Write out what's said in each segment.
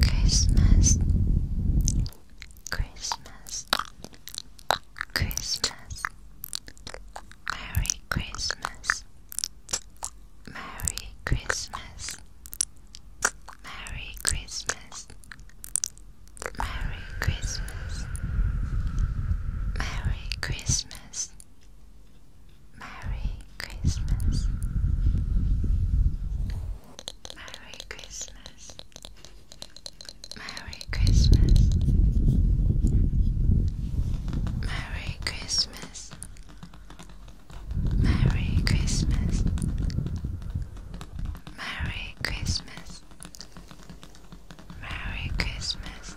Christmas, Christmas, Christmas, Merry Christmas, Merry Christmas, Merry Christmas, Merry Christmas, Merry Christmas. Merry Christmas. Merry Christmas. Merry Christmas. Merry Christmas. Merry Christmas. Merry Christmas. Merry Christmas.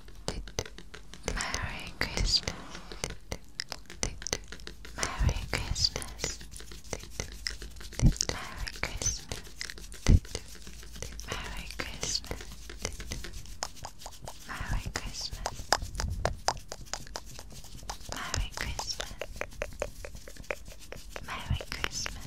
Merry Christmas. Merry Christmas. Merry Christmas. Merry Christmas. Merry Christmas. Merry Christmas. Merry Christmas. Merry Christmas.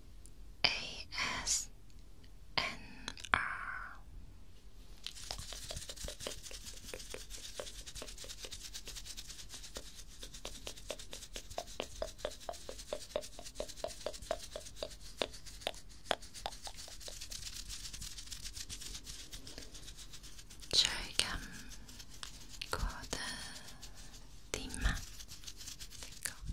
ASNR. 조금 고드 디마 되고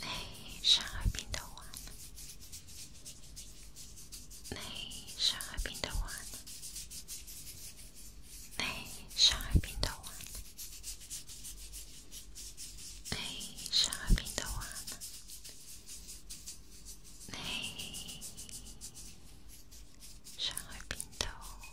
Nay, shall I be the one? Nay, shall I be the one? Nay, shall I be the one? Nay, shall I be the one? Nay, shall I be the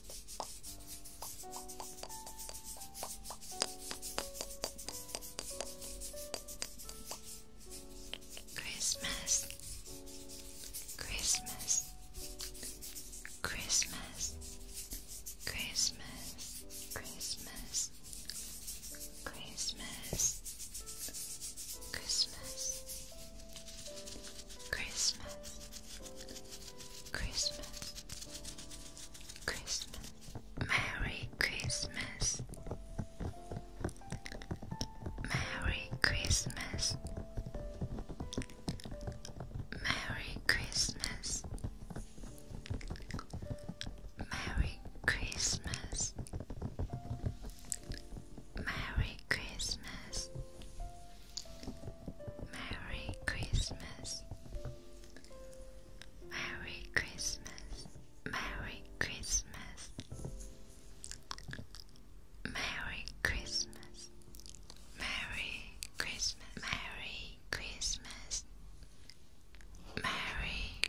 Christmas, Christmas, Christmas, Christmas, Christmas, Christmas, Christmas, Christmas, Christmas, Christmas, Merry Christmas, Merry Christmas, Merry Christmas, Merry Christmas. Merry Christmas, Merry Christmas. Merry Christmas. Merry Christmas. Merry Christmas. Merry Christmas. Merry Christmas. Merry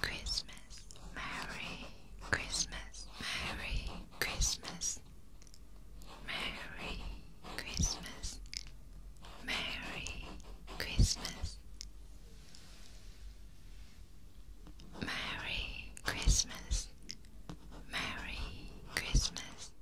Christmas. Merry Merry Christmas, Merry Christmas, Merry Christmas, Merry Christmas, Merry Christmas.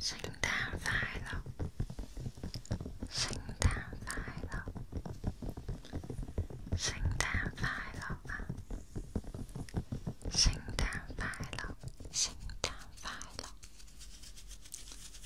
聖誕快樂，聖誕快樂，聖誕快樂啊！聖誕快樂，聖誕快樂，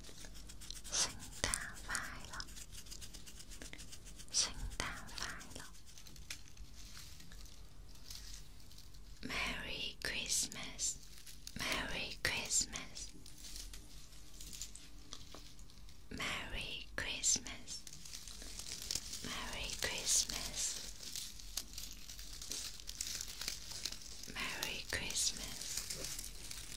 圣诞快乐，圣诞快乐，Merry Christmas，Merry Christmas，Merry Christmas，Merry Christmas，Merry Christmas。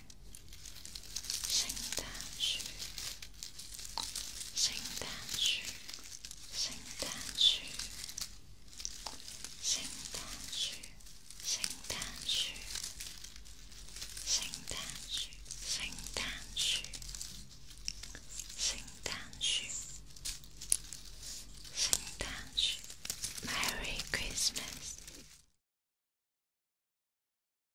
圣诞树，圣诞树，圣诞树，圣诞树，圣诞树，圣诞树，圣诞树，圣诞树，圣诞树，Merry Christmas。